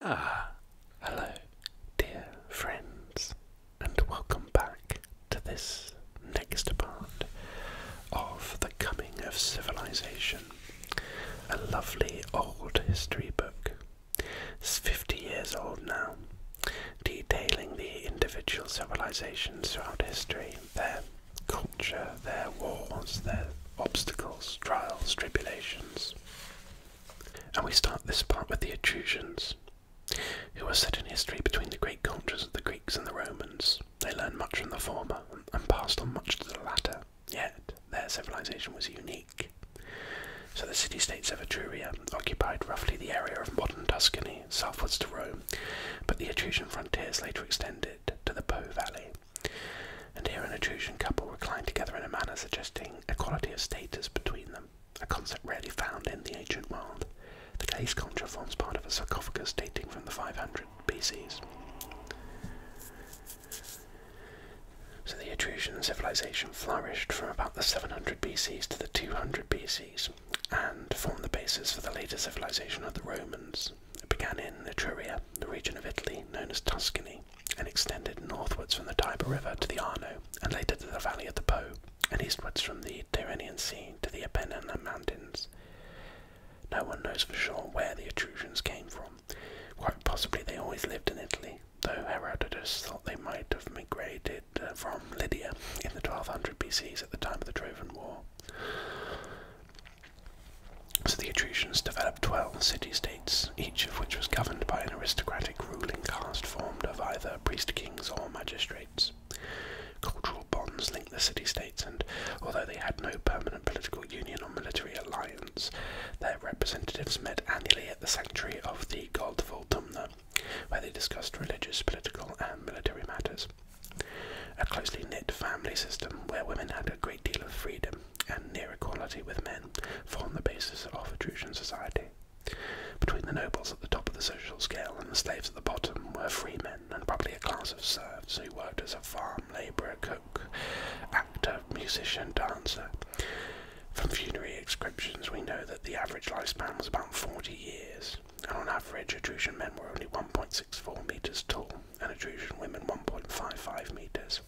Ah, hello, dear friends, and welcome back to this next part of The Coming of Civilization, a lovely old history book. It's 50 years old now, detailing the individual civilizations throughout history, their culture, their wars, their obstacles, trials, tribulations. And we start this part with the Etruscans, who are set in history between the great cultures of the Greeks and the Romans. They learned much from the former and passed on much to the latter, yet their civilization was unique. So the city-states of Etruria occupied roughly the area of modern Tuscany, southwards to Rome, but the Etruscan frontiers later extended to the Po Valley. And here an Etruscan couple reclined together in a manner suggesting equality of status between them, a concept rarely found in the ancient world. The case concha forms part of a sarcophagus dating from the 500 BCs. So the Etruscan civilization flourished from about the 700 BCs to the 200 BCs and formed the basis for the later civilization of the Romans, it began in Etruria, the region of Italy known as Tuscany, and extended northwards from the Tiber River to the Arno, and later to the valley of the Po, and eastwards from the Tyrrhenian Sea to the Apennine Mountains. No one knows for sure where the Etruscans came from. Quite possibly they always lived in Italy, though Herodotus thought they might have migrated uh, from Lydia in the 1200 BCs at the time of the Trojan War. So the Etruscans developed 12 city states, each of which was governed by an aristocratic ruling caste formed of either priest kings or magistrates. Cultural bonds linked the city states, and although they had no permanent political union or military alliance, their representatives met annually at the sanctuary of the god Voltumna, where they discussed religious, political, and military matters a closely knit family system where women had a great deal of freedom and near equality with men formed the basis of Etruscan society. Between the nobles at the top of the social scale and the slaves at the bottom were free men and probably a class of serfs who worked as a farm labourer, cook, actor, musician, dancer. From funerary inscriptions we know that the average lifespan was about 40 years, and on average Etruscan men were only 1.64 metres tall and Etruscan women 1.55 metres.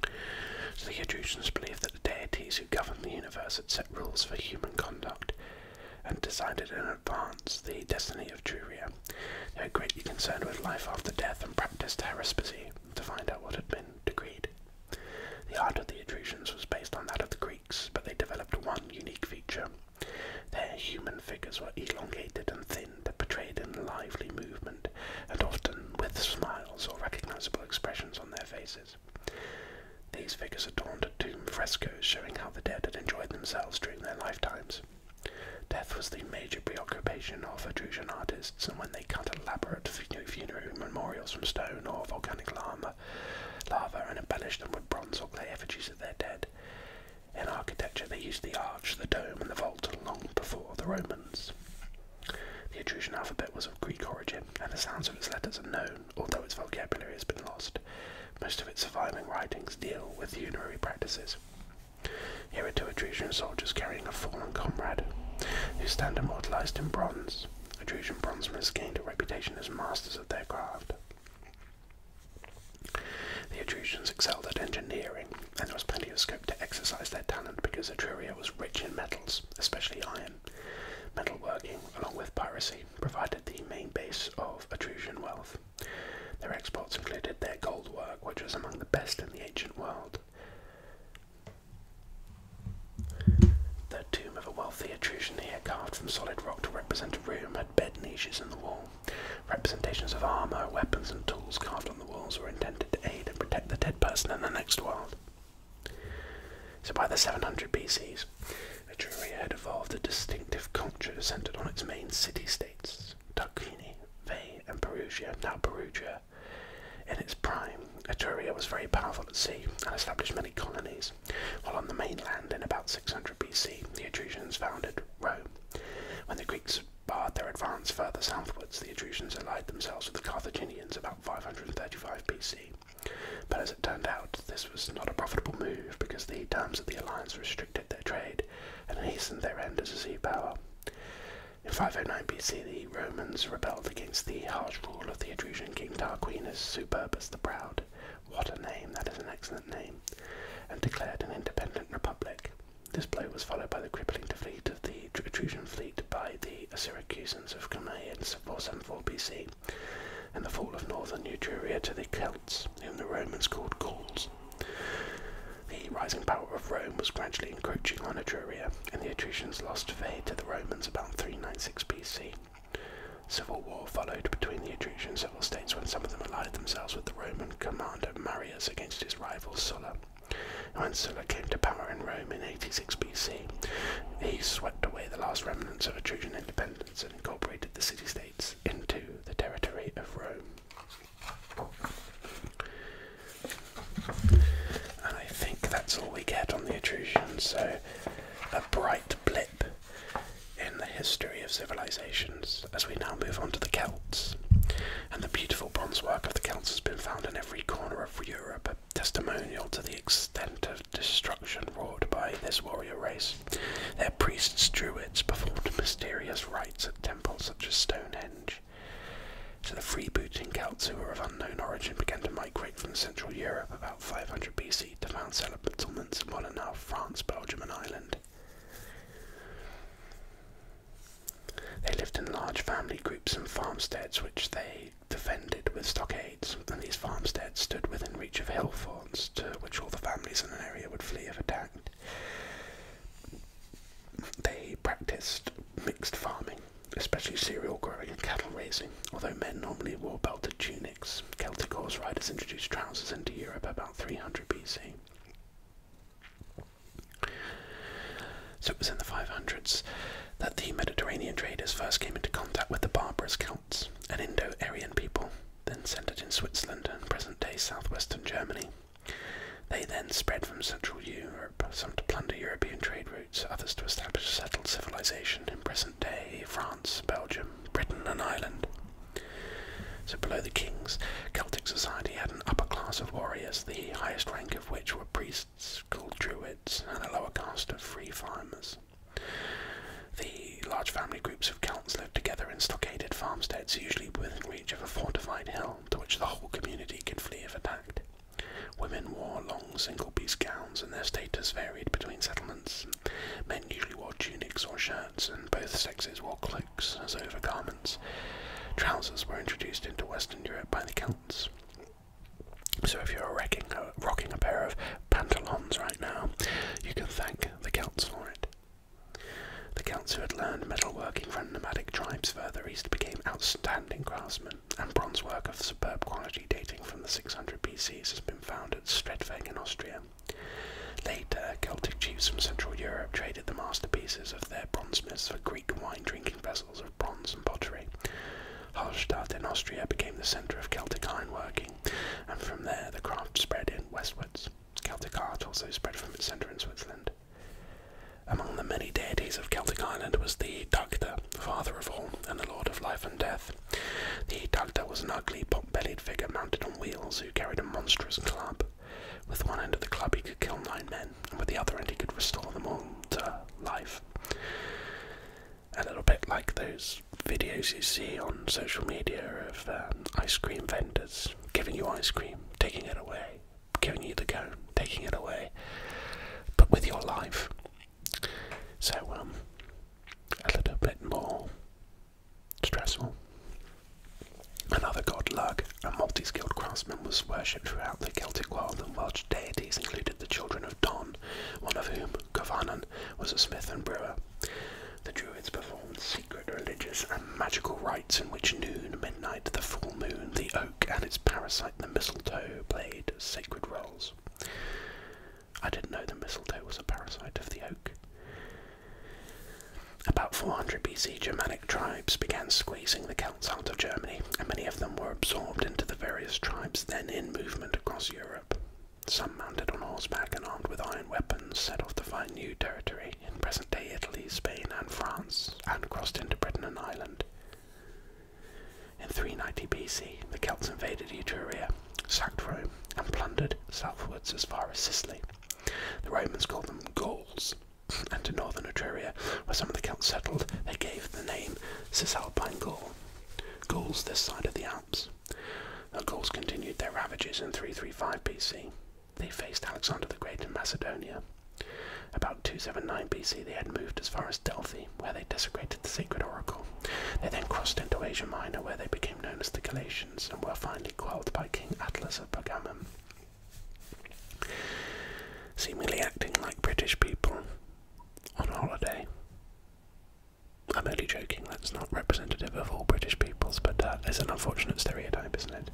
the Etruscans believed that the deities who governed the universe had set rules for human conduct and decided in advance the destiny of Truria. They were greatly concerned with life after death and practiced haruspicy to find out what had been decreed. The art of the Etruscans was based on that of the Greeks, but they developed one unique feature their human figures were elongated and thin, but portrayed in lively movement, and often with smiles or recognizable expressions on their faces. These figures adorned tomb frescoes showing how the dead had enjoyed themselves during their lifetimes. Death was the major preoccupation of Etruscan artists, and when they cut elaborate funerary memorials from stone or volcanic lava, lava and embellished them with bronze or clay effigies of their dead, in architecture, they used the arch, the dome, and the vault long before the Romans. The Etruscan alphabet was of Greek origin, and the sounds of its letters are known, although its vocabulary has been lost. Most of its surviving writings deal with funerary practices. Here are two Etruscan soldiers carrying a fallen comrade, who stand immortalized in bronze. Etruscan bronze bronzemen gained a reputation as masters of their craft. The Etruscans excelled at engineering, and there was plenty of scope to exercise their talent because Etruria was rich in metals, especially iron. Metalworking, along with piracy, provided the main base of Etruscan wealth. Their exports included their gold work, which was among the best in the ancient world. The tomb of a wealthy Etruscan here, carved from solid rock to represent a room, had bed niches in the wall. Representations of armour, weapons, and tools carved on the walls were intended to aid and protect the dead person in the next world. So by the 700 BC, Etruria had evolved a distinctive culture centred on its main city-states, Tarquinii, Veii, and Perugia, now Perugia. In its prime, Etruria was very powerful at sea and established many colonies, while on the mainland in about 600 BC, the Etruscans founded Rome. When the Greeks barred their advance further southwards, the Etruscans allied themselves with the Carthaginians about 535 BC. But as it turned out, this was not a profitable move because the terms of the alliance restricted their trade and hastened their end as a sea power. In 509 BC, the Romans rebelled against the harsh rule of the Etruscan king Tarquinius Superbus the Proud, what a name, that is an excellent name, and declared an independent republic. This blow was followed by the crippling defeat of the Etruscan fleet by the Syracusans of Cumae in 474 BC, and the fall of northern Etruria to the Celts, whom the Romans called Gauls. The rising power of Rome was gradually encroaching on Etruria, and the Etruscans lost Veii to the Romans about 396 BC. Civil war followed between the Etruscans states when some of them allied themselves with the Roman commander Marius against his rival Sulla. when Sulla came to power in Rome in 86 BC, he swept away the last remnants of Etruscan independence and incorporated the city states into the territory of Rome. And I think that's all we get on the Etruscan, so a bright blip in the history of civilizations as we now move on to the Celts. And the beautiful bronze work of the Celts has been found in every corner of Europe, a testimonial to the extent of destruction wrought by this warrior race. Their priests, druids, performed mysterious rites at temples such as Stonehenge. So the freebooting Celts, who were of unknown origin, began to migrate from Central Europe about 500 BC to found settlements in what are now France, Belgium, and Ireland. They lived in large family groups and farmsteads which they defended with stockades, and these farmsteads stood within reach of hill forts to which all the families in an area would flee if attacked. They practiced mixed farming, especially cereal growing and cattle raising, although men normally wore belted tunics. Celtic horse riders introduced trousers into Europe about 300 BC. So it was in the 500s that the Mediterranean traders first came into contact with the barbarous Celts, an Indo Aryan people, then centered in Switzerland and present day southwestern Germany. They then spread from Central Europe, some to plunder European trade routes, others to establish a settled civilization in present day France, Belgium, Britain, and Ireland. So below the kings, Celtic society had an upper class of warriors, the highest rank of which were priests called druids, and a lower caste of free farmers. The large family groups of Celts lived together in stockaded farmsteads, usually within reach of a fortified hill to which the whole community could flee if attacked. Women wore long single-piece gowns, and their status varied between settlements Men usually wore tunics or shirts, and both sexes wore cloaks as overgarments. Trousers were introduced into Western Europe by the Celts. So if you're rocking a, pair of pantalons right now, you can thank the Celts for it. The Celts who had learned metalworking from nomadic tribes further east became outstanding craftsmen, and bronze work of superb quality dating from the 600 BCs has been found at Stredfeng in Austria. Later, Celtic chiefs from Central Europe traded the masterpieces of their bronze smiths for Greek wine drinking vessels of bronze and pottery. Hallstatt in Austria became the centre of Celtic iron working, and from there the craft spread in westwards. Celtic art also spread from its centre in Switzerland. Among the many deities of Celtic Ireland was the Dagda, father of all and the lord of life and death. The Italta was an ugly, pot-bellied figure mounted on wheels who carried a monstrous club. With one end of the club he could kill nine men, and with the other end he could restore them all to life. A little bit like those videos you see on social media of um, ice cream vendors giving you ice cream, taking it away, giving you the go, taking it away, but with your life. So, um, a little bit more Stressful. Another god, Lug, a multi-skilled craftsman, was worshipped throughout the Celtic world, and Welsh deities included the children of Don, one of whom, Govanan, was a smith and brewer. The Druids performed secret religious and magical rites in which noon, midnight, the full moon, the oak, and its parasite, the mistletoe, played sacred roles. I didn't know the mistletoe was a parasite of the oak. About 400 BC, Germanic tribes began squeezing the Celts out of Germany, and many of them were absorbed into the various tribes then in movement across Europe. Some mounted on horseback and armed with iron weapons set off to find new territory in present day Italy, Spain, and France, and crossed into Britain and Ireland. In 390 BC, the Celts invaded Etruria sacked Rome, and plundered southwards as far as Sicily. The Romans called them Gauls, and to northern Etruria, where some of the Celts settled, they gave the name Cisalpine Gaul. Gauls this side of the Alps. The Gauls continued their ravages in 335 BC. They faced Alexander the Great in Macedonia. About 279 BC, they had moved as far as Delphi, where they desecrated the sacred oracle. They then crossed into Asia Minor, where they became known as the Galatians and were finally quelled by King Atlas of Pergamum. Seemingly acting like British people on holiday. I'm only joking, that's not representative of all British peoples, but uh, that is an unfortunate stereotype, isn't it?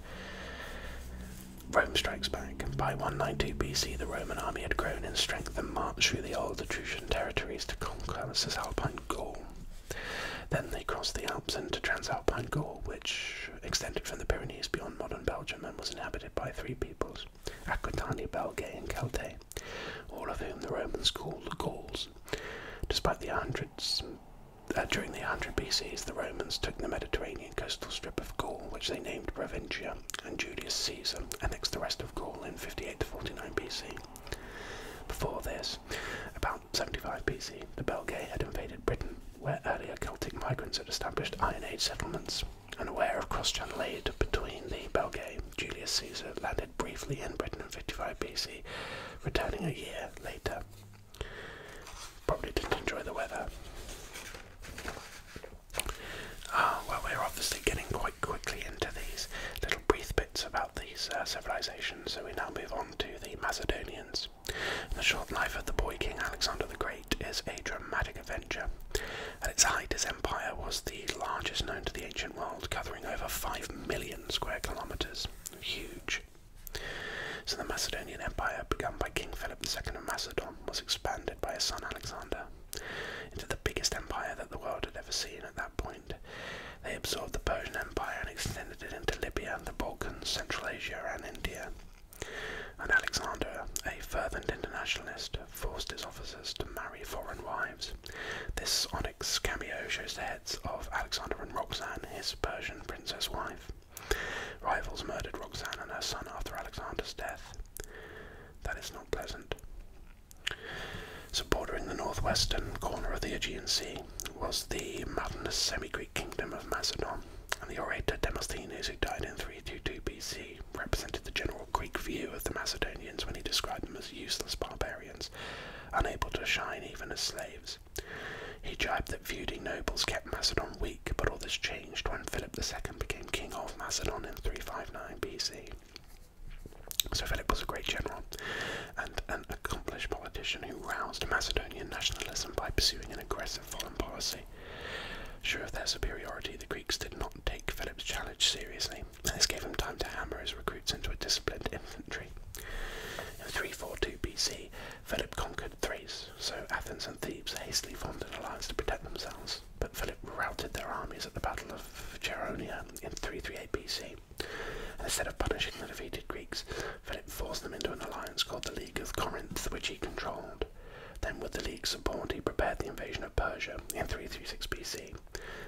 Rome strikes back. By 192 BC, the Roman army had grown in strength and marched through the old Etruscan territories to conquer the Cisalpine Gaul. Then they crossed the Alps into Transalpine Gaul, which extended from the Pyrenees beyond modern Belgium and was inhabited by three peoples Aquitania, Belgae, and Celtae, all of whom the Romans called the Gauls. Despite the hundreds, uh, during the 100 BCs, the Romans took the Mediterranean coastal strip of Gaul, which they named Provincia, and Julius Caesar annexed the rest of Gaul in 58 to 49 BC. Before this, about 75 BC, the Belgae had invaded Britain, where earlier Celtic migrants had established Iron Age settlements. Unaware of cross-channel aid between the Belgae, Julius Caesar landed briefly in Britain in 55 BC, returning a year later. Probably didn't enjoy the weather. Ah, well, we're obviously getting quite quickly into these little brief bits about these uh, civilizations. So we now move on to the Macedonians. The short life of the boy king Alexander the Great is a dramatic adventure. At its height, his empire was the largest known to the ancient world, covering over 5 million square kilometers. Huge. So the Macedonian Empire, begun by King Philip II of Macedon, was expanded by his son Alexander into the biggest empire that the world had ever seen at that point. They absorbed the Persian Empire and extended it into Libya, and the Balkans, Central Asia, and India. And Alexander, a fervent internationalist, forced his officers to marry foreign wives. This onyx cameo shows the heads of Alexander and Roxane, his Persian princess wife. Rivals murdered Roxane and her son after Alexander's death. That is not pleasant. So bordering the northwestern corner of the Aegean Sea was the mountainous semi-Greek kingdom of Macedon, and the orator Demosthenes, who died in three two BC, represented the general Greek view of the Macedonians when he described them as useless barbarians, unable to shine even as slaves. He jibed that feuding nobles kept Macedon weak, but all this changed when Philip II became king of Macedon in 359 BC. So Philip was a great general and an accomplished politician who roused Macedonian nationalism by pursuing an aggressive foreign policy. Sure of their superiority, the Greeks did not take Philip's challenge seriously, this gave him time to hammer his recruits into a disciplined infantry. In 342 BC, Philip conquered Thrace, so Athens and Thebes hastily formed an alliance to protect themselves, but Philip routed their armies at the Battle of Cheronia in 338 BC. instead of punishing the defeated Greeks, Philip forced them into an alliance called the League of Corinth, which he controlled. Then, with the League's support, he prepared the invasion of Persia in 336 BC.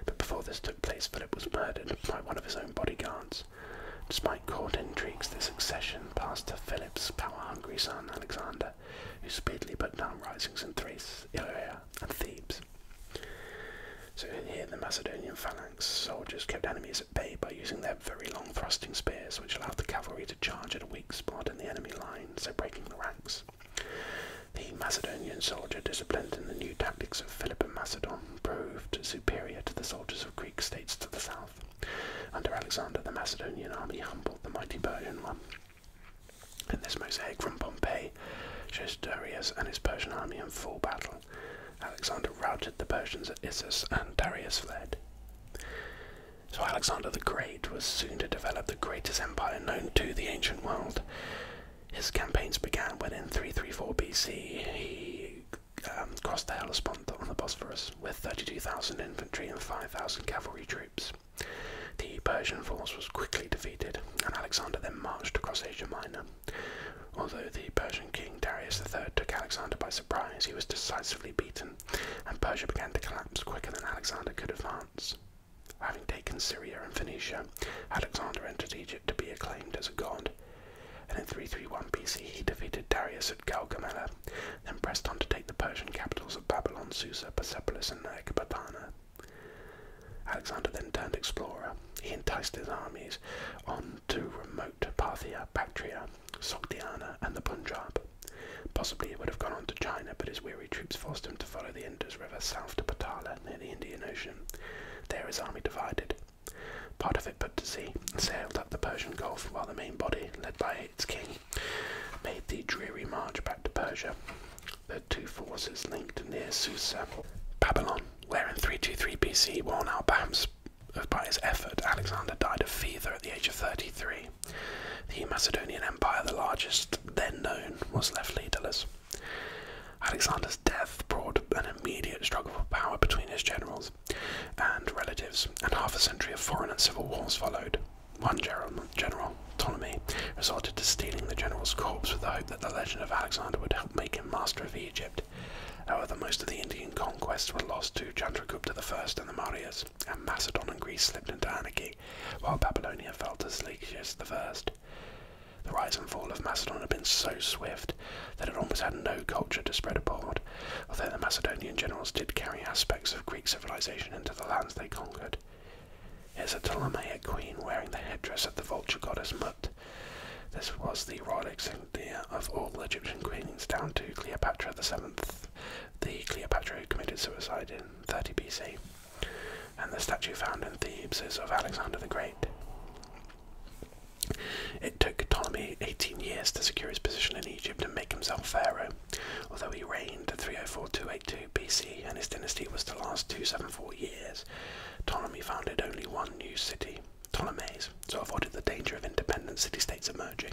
But before this took place, Philip was murdered by one of his own bodyguards. Despite court intrigues, the succession passed to Philip's power-hungry son Alexander, who speedily put down risings in Thrace, Illyria, and Thebes. So here the Macedonian phalanx soldiers kept enemies at bay by using their very long thrusting spears which allowed the cavalry to charge at a weak spot in the enemy line, so breaking the ranks. The Macedonian soldier disciplined in the new tactics of Philip of Macedon proved superior to the soldiers of Greek states to the south. Under Alexander the Macedonian army humbled the mighty Persian one. In this mosaic from Pompeii shows Darius and his Persian army in full battle. Alexander routed the Persians at Issus, and Darius fled. So Alexander the Great was soon to develop the greatest empire known to the ancient world. His campaigns began when in 334 BC he um, crossed the Hellespont on the Bosphorus with 32,000 infantry and 5,000 cavalry troops. The Persian force was quickly defeated, and Alexander then marched across Asia Minor. Although the Persian king Darius III took Alexander by surprise, he was decisively beaten, and Persia began to collapse quicker than Alexander could advance. Having taken Syria and Phoenicia, Alexander entered Egypt to be acclaimed as a god. And in 331 BC, he defeated Darius at Gaugamela, then pressed on to take the Persian capitals of Babylon, Susa, Persepolis, and Ecbatana. Alexander then turned explorer. He enticed his armies on to remote Parthia, Bactria, Sogdiana, and the Punjab. Possibly he would have gone on to China, but his weary troops forced him to follow the Indus River south to Patala near the Indian Ocean. There his army divided. Part of it put to sea and sailed up the Persian Gulf, while the main body, led by its king, made the dreary march back to Persia. The two forces linked near Susa. Babylon, where in 323 BC, worn out by his effort, Alexander died of fever at the age of 33. The Macedonian Empire, the largest then known, was left leaderless. Alexander's death brought an immediate struggle for power between his generals and relatives, and half a century of foreign and civil wars followed. One general Ptolemy resorted to stealing the general's corpse with the hope that the legend of Alexander would help make him master of Egypt. However, most of the Indian conquests were lost to Chandragupta I and the Mauryas, and Macedon and Greece slipped into anarchy, while Babylonia fell to Seleucus I. The rise and fall of Macedon had been so swift that it almost had no culture to spread abroad, although the Macedonian generals did carry aspects of Greek civilization into the lands they conquered. Here's a Ptolemaic queen wearing the headdress of the vulture goddess Mut. This was the royal insignia of all Egyptian queens down to Cleopatra VII, the Cleopatra who committed suicide in 30 BC. And the statue found in Thebes is of Alexander the Great. It took Ptolemy 18 years to secure his position in Egypt and make himself pharaoh, although he reigned 304-282 BC, and his dynasty was to last 274 years. Ptolemy founded only one new city, Ptolemais, so avoided the danger of independent city states emerging.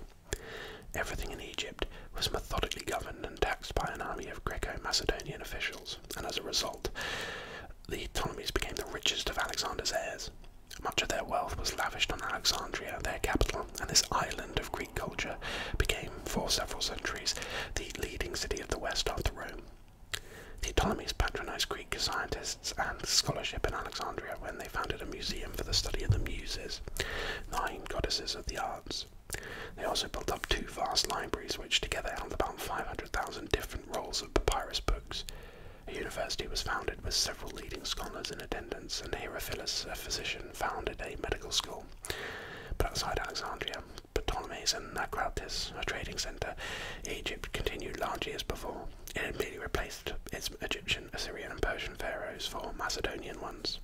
Everything in Egypt was methodically governed and taxed by an army of Greco Macedonian officials, and as a result, the Ptolemies became the richest of Alexander's heirs. Much of their wealth was lavished on Alexandria, their capital, and this island of Greek culture became for several centuries the leading city of the West after Rome. The Ptolemies patronized Greek scientists and scholarship in Alexandria when they founded a museum for the study of the Muses, nine goddesses of the arts. They also built up two vast libraries, which together held about 500,000 different rolls of papyrus books. A university was founded with several leading scholars in attendance, and Hierophilus, a physician, founded a medical school. But outside Alexandria, Ptolemy's and Naucratis, a trading centre, Egypt continued largely as before. It had merely replaced its Egyptian, Assyrian, and Persian pharaohs for Macedonian ones.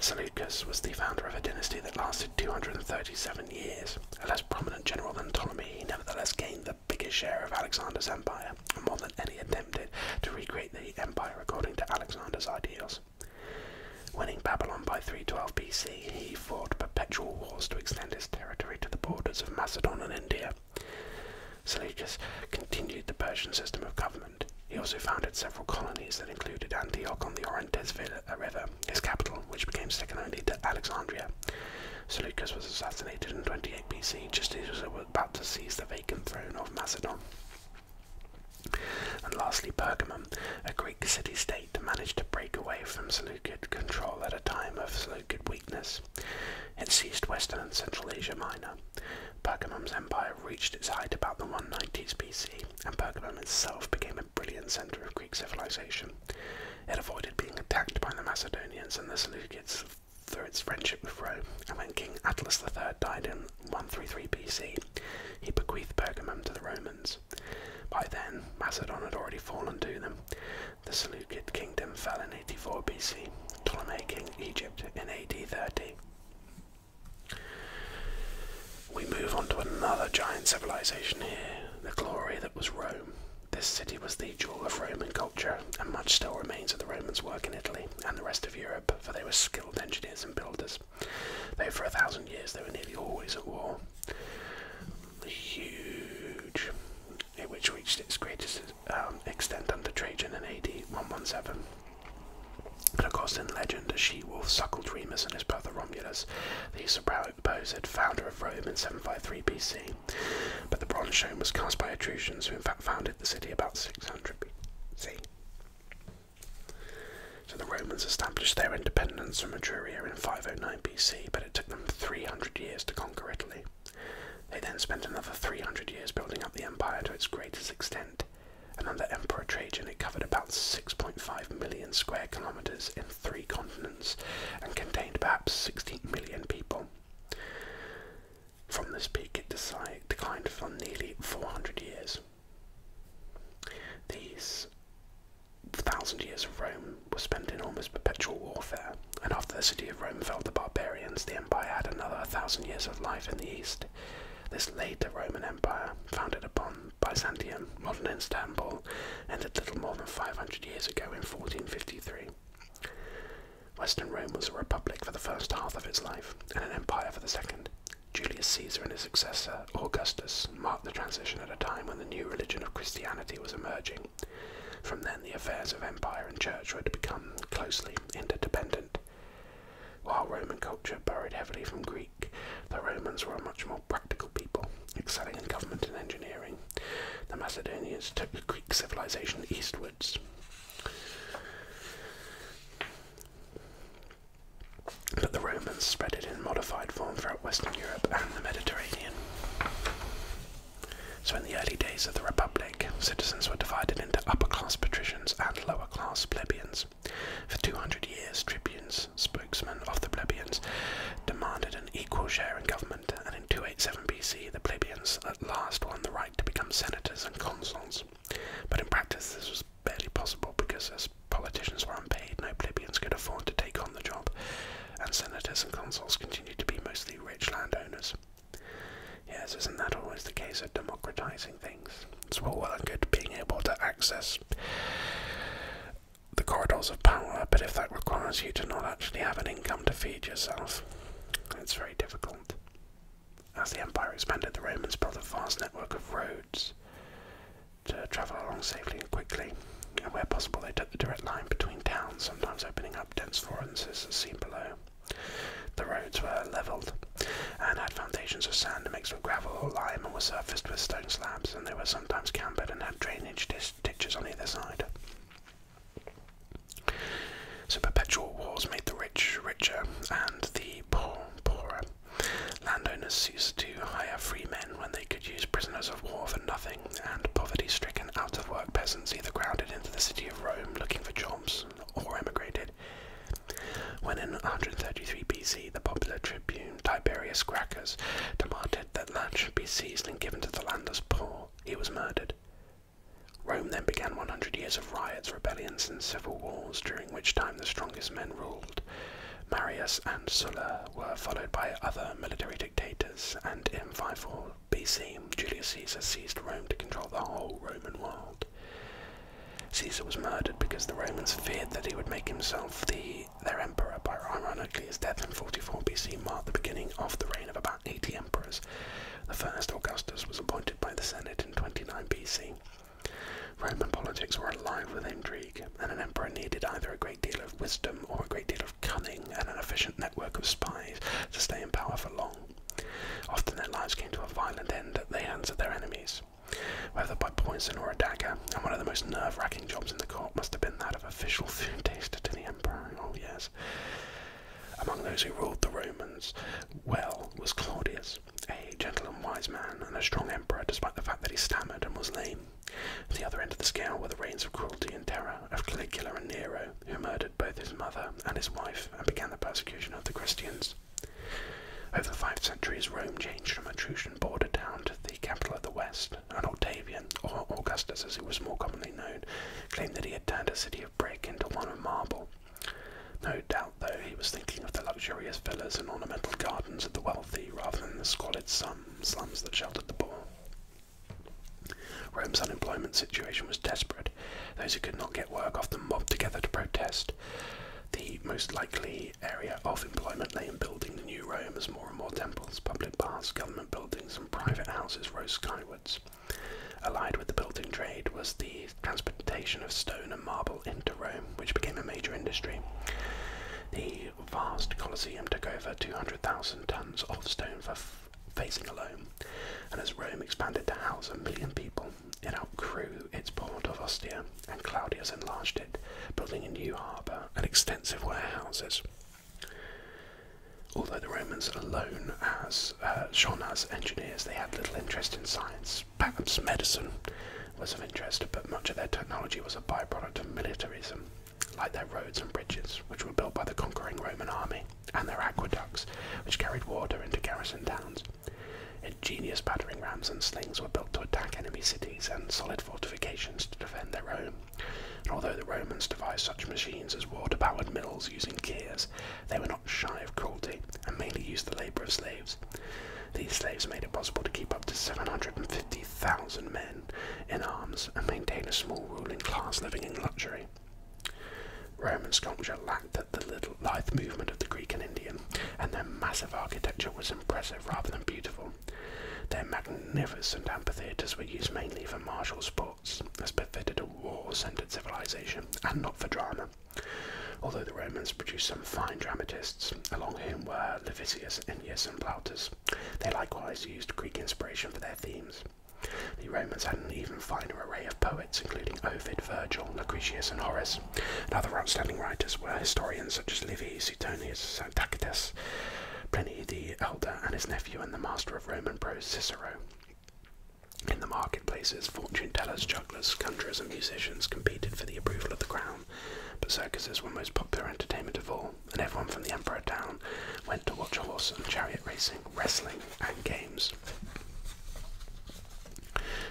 Seleucus was the founder of a dynasty that lasted 237 years. A less prominent general than Ptolemy, he nevertheless gained the biggest share of Alexander's empire, and more than any attempted to recreate the empire according to Alexander's ideals. Winning Babylon by 312 BC, he fought perpetual wars to extend his territory to the borders of Macedon and India. Seleucus continued the Persian system of government. He also founded several colonies that included Antioch on the Orontes River, his capital, which became second only to Alexandria. Seleucus was assassinated in 28 BC, just as he was about to seize the vacant throne of Macedon. And lastly, Pergamum, a Greek city state, that managed to break away from Seleucid control at a time of Seleucid weakness. It seized Western and Central Asia Minor. Pergamum's empire reached its height about the 190s BC, and Pergamum itself became a brilliant center of Greek civilization. It avoided being attacked by the Macedonians and the Seleucids through its friendship with Rome, and when King Atlas III died in 133 BC, he bequeathed Pergamum to the Romans. By then, Macedon had already fallen to them. The Seleucid kingdom fell in 84 BC, Ptolemy king Egypt in AD 30. We move on to another giant civilization here, the glory that was Rome. This city was the jewel of Roman culture, and much still remains of the Romans' work in Italy and the rest of Europe, for they were skilled engineers and builders. Though for a thousand years they were nearly always at war. Huge, which reached its greatest um, extent under Trajan in AD 117. And of course, in legend, a she-wolf suckled Remus and his brother Romulus, the supposed founder of Rome in 753 BC. But the bronze shown was cast by Etruscans, who in fact founded the city about 600 BC. So the Romans established their independence from Etruria in 509 BC, but it took them 300 years to conquer Italy. They then spent another 300 years building up the empire to its greatest extent, and under Emperor Trajan it covered about 6.5 million square kilometres in three continents and contained perhaps 16 million people. From this peak it declined for nearly 400 years. These thousand years of Rome were spent in almost perpetual warfare, and after the city of Rome fell to barbarians, the empire had another thousand years of life in the east. This later Roman Empire, founded upon Byzantium, modern Istanbul, ended little more than 500 years ago in 1453. Western Rome was a republic for the first half of its life, and an empire for the second. Julius Caesar and his successor, Augustus, marked the transition at a time when the new religion of Christianity was emerging. From then, the affairs of empire and church were to become closely interdependent. While Roman culture borrowed heavily from Greek, the Romans were a much more practical people, excelling in government and engineering. The Macedonians took the Greek civilization eastwards but the Romans spread it in modified form throughout Western Europe and the Mediterranean. So, in the early days of the Republic, citizens were divided into upper class patricians and lower class plebeians. For 200 years, tribunes, spokesmen of the plebeians, demanded an equal share in government, and in 287 BC, the plebeians at last won the right to become senators and consuls. But in practice, this was barely possible because, as politicians were unpaid, no plebeians could afford to take on the job, and senators and consuls continued to be mostly rich landowners. Yes, isn't that always the case of democratizing things? It's all well and good being able to access the corridors of power, but if that requires you to not actually have an income to feed yourself, it's very difficult. As the empire expanded, the Romans built a vast network of roads to travel along safely and quickly, and where possible, they took the direct line between towns, sometimes opening up dense forests as seen below. The roads were levelled and had foundations of sand mixed with gravel or lime and were surfaced with stone slabs, and they were sometimes cambered and had drainage ditches on either side. So perpetual wars made the rich richer and the poor poorer. Landowners ceased to hire free men when they could use prisoners of war for nothing, and poverty stricken, out of work peasants either crowded into the city of Rome looking for jobs or emigrated. When in 133 BC the popular tribune Tiberius Gracchus demanded that land should be seized and given to the landless poor, he was murdered. Rome then began 100 years of riots, rebellions, and civil wars, during which time the strong strongest men ruled. Marius and Sulla were followed by other military dictators, and in 54 BC, Julius Caesar seized Rome to control the whole Roman world. Caesar was murdered because the Romans feared that he would make himself the, their emperor, By ironically his death in 44 BC marked the beginning of the reign of about 80 emperors. The first Augustus was appointed by the Senate in 29 BC. Roman politics were alive with intrigue, and an emperor needed either a great deal of wisdom or a great deal of cunning and an efficient network of spies to stay in power for long. Often their lives came to a violent end at the hands of their enemies, whether by poison or a dagger, and one of the most nerve racking jobs in the court must have been that of official food taster to the emperor. Oh, yes. Among those who ruled the Romans well was Claudius, a gentle and wise man and a strong emperor, despite the fact that he stammered and was lame. At the other end of the scale were the reigns of cruelty and terror of Caligula and Nero, who murdered both his mother and his wife and began the persecution of the Christians. Over five centuries, Rome changed from a Trojan border town to the capital of the West, and Octavian, or Augustus as he was more commonly known, claimed that he had turned a city of brick into one of marble. No doubt, though, he was thinking of the luxurious villas and ornamental gardens of the wealthy rather than the squalid slums that sheltered the poor. Rome's unemployment situation was desperate. Those who could not get work often mobbed together to protest. The most likely area of employment lay in building the new Rome as more and more temples, public baths, government buildings, and private houses rose skywards. Allied with the building trade was the transportation of stone and marble into Rome, which became a major industry. The vast Colosseum took over 200,000 tons of stone for facing alone, and as Rome expanded to house a million people, it outgrew its port of Ostia, and Claudius enlarged it, building a new harbour and extensive warehouses. Although the Romans alone as uh, shown as engineers, they had little interest in science, Perhaps medicine was of interest, but much of their technology was a byproduct of militarism, like their roads and bridges, which were built by the conquering Roman army, and their aqueducts, which carried water into garrison towns. Ingenious battering rams and slings were built to attack enemy cities and solid fortifications to defend their own. And although the Romans devised such machines as water powered mills using gears, they were not shy of cruelty and mainly used the labor of slaves. These slaves made it possible to keep up to 750,000 men in arms and maintain a small ruling class living in luxury. Roman sculpture lacked the little lithe movement of the Greek and Indian, and their massive architecture was impressive rather than beautiful. Their magnificent amphitheatres were used mainly for martial sports, as befitted a war-centered civilization, and not for drama. Although the Romans produced some fine dramatists, along whom were Levitius, Ennius, and Plautus, they likewise used Greek inspiration for their themes. The Romans had an even finer array of poets, including Ovid, Virgil, Lucretius, and Horace. And other outstanding writers were historians such as Livy, Suetonius, Tacitus, Pliny the Elder, and his nephew and the master of Roman prose, Cicero. In the marketplaces, fortune tellers, jugglers, conjurers, and musicians competed for the approval of the crowd. but circuses were most popular entertainment of all, and everyone from the Emperor down went to watch horse and chariot racing, wrestling, and games.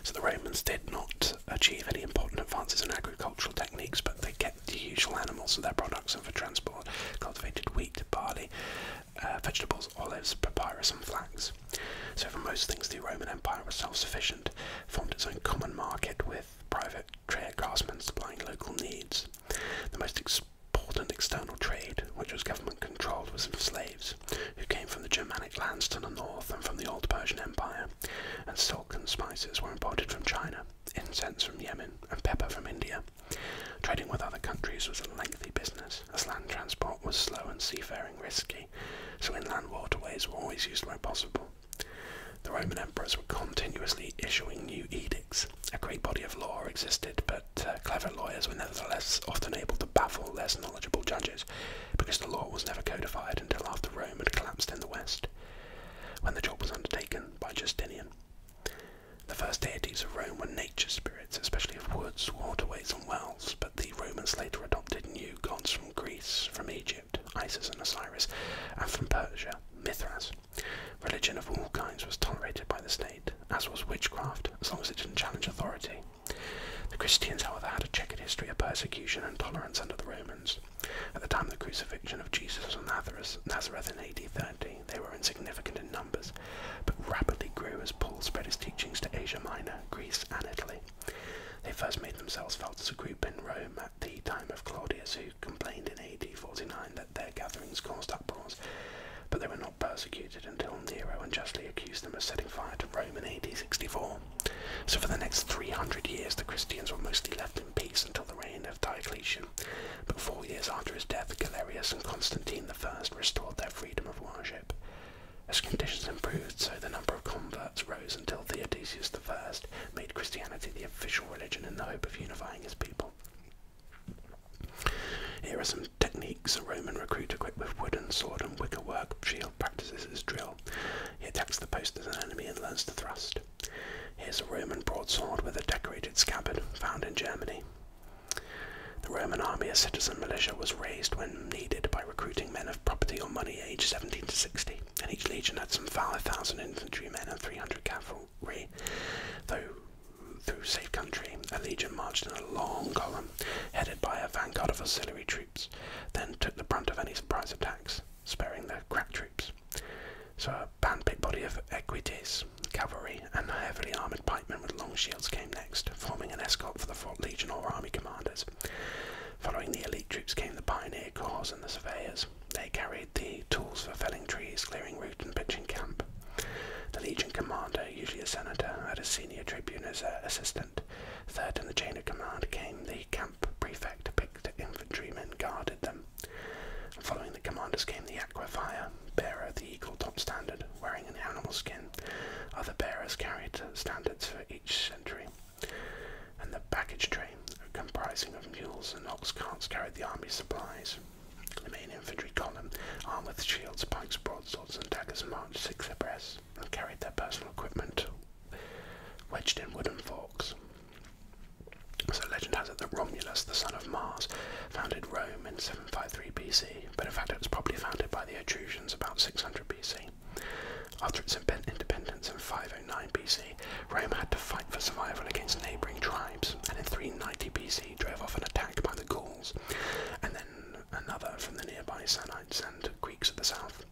So the Romans did not achieve any important advances in agricultural techniques, but they kept the usual animals for their products and for transport, cultivated wheat, barley, uh, vegetables, olives, papyrus, and flax. So, for most things, the Roman Empire was self sufficient, formed its own common market with private trade craftsmen supplying local needs. The most important external trade, which was government controlled, was of slaves, who came from the Germanic lands to the north and from the old Persian Empire, and silk and spices were imported from China, incense from Yemen, and pepper from India. Trading with other countries was a lengthy business, as land transport was slow and seafaring risky, so inland waterways were always used where possible. The Roman emperors were continuously issuing new edicts. A great body of law existed, but uh, clever lawyers were nevertheless often able to baffle less knowledgeable judges because the law was never codified until after Rome had collapsed in the west, when the job was undertaken by Justinian. The first deities of Rome were nature spirits, especially of woods, waterways, and wells, the Romans later adopted new gods from Greece, from Egypt, Isis and Osiris, and from Persia, Mithras. Religion of all kinds was tolerated by the state, as was witchcraft, as long as it didn't challenge authority. The Christians, however, had a checkered history of persecution and tolerance under the Romans. At the time of the crucifixion of Jesus of Nazareth in AD 30, they were insignificant in numbers, but rapidly grew as Paul spread his teachings to Asia Minor, Greece, and Italy. They first made themselves felt as a group in Rome at the time of Claudius, who complained in AD 49 that their gatherings caused uproars, but they were not persecuted until Nero unjustly accused them of setting fire to Rome in AD 64. So for the next 300 years, the Christians were mostly left in peace until the reign of Diocletian, but four years after his death, Galerius and Constantine the First restored their freedom of worship. As conditions improved, so the number of converts rose until Theodosius I made Christianity the official religion in the hope of unifying his people. Here are some techniques a Roman recruit equipped with wooden sword and wickerwork shield practices his drill. He attacks the post as an enemy and learns to thrust. Here's a Roman broadsword with a decorated scabbard found in Germany. The Roman army, a citizen militia, was raised when needed by recruiting men of property or money aged 17 to 60, and each legion had some 5,000 infantrymen and 300 cavalry. Though through safe country, a legion marched in a long column, headed by a vanguard of auxiliary troops, then took the brunt of any surprise attacks, sparing their crack troops. So a band-picked body of equites, cavalry, and heavily armed and pikemen with long shields came next, forming an escort for the Fort Legion or army commanders. Following the elite troops came the pioneer corps and the surveyors. They carried the tools for felling trees, clearing route, and pitching camp. The legion commander, usually a senator, had a senior tribune as uh, assistant. Third in the chain of command came the camp prefect, picked infantrymen guarded them. following the commanders came the aqua fire, bearer the eagle top standard wearing an animal skin. Other bearers carried standards for each century. And the baggage train, comprising of mules and ox carts, carried the army's supplies. The main infantry column, armed with shields, pikes, broadswords, and daggers, marched six abreast and carried their personal equipment wedged in wooden forks. So legend has it that Romulus, the son of Mars, founded Rome in 7 553 BC, but in fact it was probably founded by the Etruscans about 600 BC. After its independence in 509 BC, Rome had to fight for survival against neighbouring tribes, and in 390 BC drove off an attack by the Gauls, and then another from the nearby Sanites and Greeks at the south.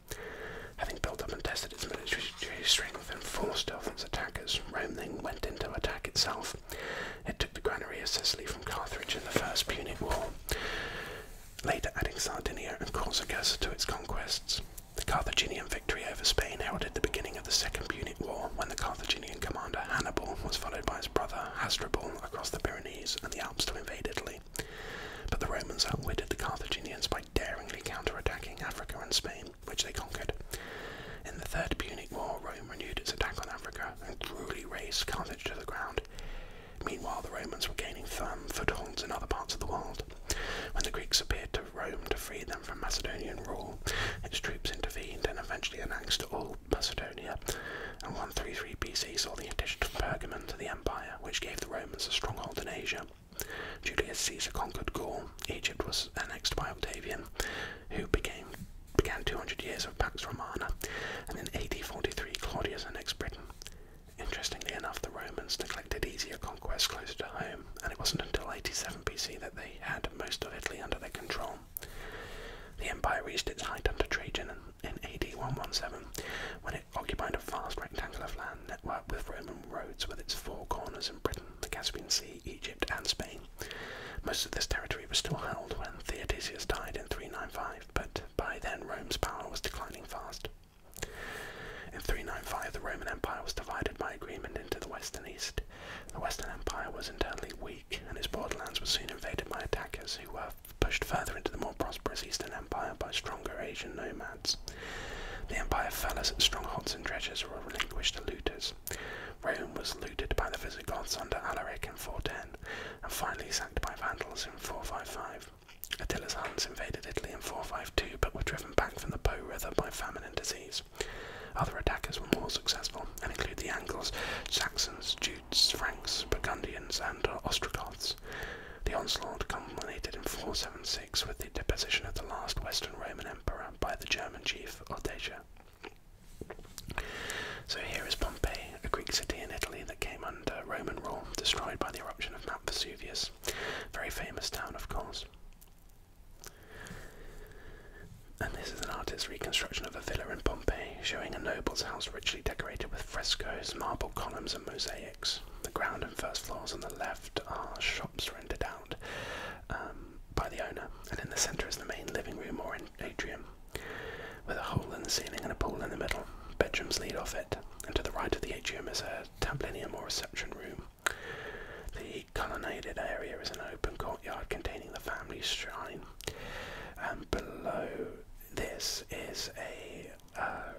Having built up and tested its military strength and forced off its attackers, Rome then went into attack itself, it took the granary of Sicily from Carthage in the First Punic War, later adding Sardinia and Corsica to its conquests. The Carthaginian victory over Spain heralded the beginning of the Second Punic War when the Carthaginian commander Hannibal was followed by his brother Hasdrubal across the Pyrenees and the Alps to invade Italy. But the Romans outwitted the Carthaginians by daringly counterattacking Africa and Spain, which they conquered. In the Third Punic War, Rome renewed its attack on Africa and cruelly razed Carthage to the ground. Meanwhile, the Romans were gaining firm footholds in other parts of the world. When the Greeks appeared to Rome to free them from Macedonian rule, its troops intervened and eventually annexed all Macedonia, and 133 BC saw the addition of Pergamon to the empire, which gave the Romans a stronghold in Asia. Julius Caesar conquered Gaul, Egypt was annexed by Octavian, who became began 200 years of Pax Romana, and in 843 Claudius annexed Britain. Interestingly enough, the Romans neglected easier conquests closer to home, and it wasn't until 87 BC that they had most of Italy under their control. The empire reached its height under Trajan in AD 117, when it occupied a vast rectangle of land network with Roman roads with its four corners in Britain, the Caspian Sea, Egypt, and Spain. Most of this territory was still held when Theodosius died in 395, but by then Rome's power was declining fast. In 395, the Roman Empire was divided by agreement into the west and east. The Western Empire was internally weak, and its borderlands were soon invaded by attackers who were pushed further into the more prosperous Eastern Empire by stronger Asian nomads. The empire fell as its strongholds and treasures were relinquished to looters. Rome was looted by the Visigoths under Alaric in 410 and finally sacked by Vandals in 455. Attila's Huns invaded Italy in 452 but were driven back from the Po River by famine and disease. Other attackers were more successful and include the Angles, Saxons, Jutes, Franks, Burgundians, and Ostrogoths. The onslaught culminated in 476 with the deposition of the last Western Roman emperor by the German chief Ordesia. So here is Pompeii, a Greek city in Italy that came under Roman rule, destroyed by the eruption of Mount Vesuvius. Very famous town, of course. And this is an artist's reconstruction of a villa in Pompeii, showing a noble's house richly decorated with frescoes, marble columns, and mosaics. The ground and first floors on the left are shops rented out um, by the owner, and in the centre is the main living room or atrium with a hole in the ceiling and a pool in the middle. Bedrooms lead off it, and to the right of the atrium is a tablinium or reception room. The colonnaded area is an open courtyard containing the family shrine. And below this is a uh,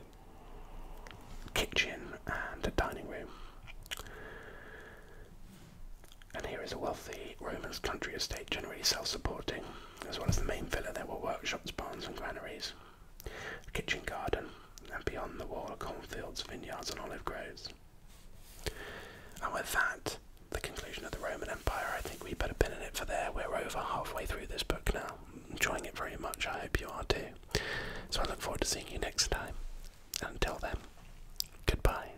kitchen and a dining room. And here is a wealthy Roman's country estate, generally self-supporting, as well as the main villa. There were workshops, barns, and granaries, a kitchen garden, and beyond the wall cornfields, vineyards, and olive groves. And with that, the conclusion of the Roman Empire, I think we better pin it for there. We're over halfway through this book now. enjoying it very much. I hope you are too. So I look forward to seeing you next time. until then, goodbye.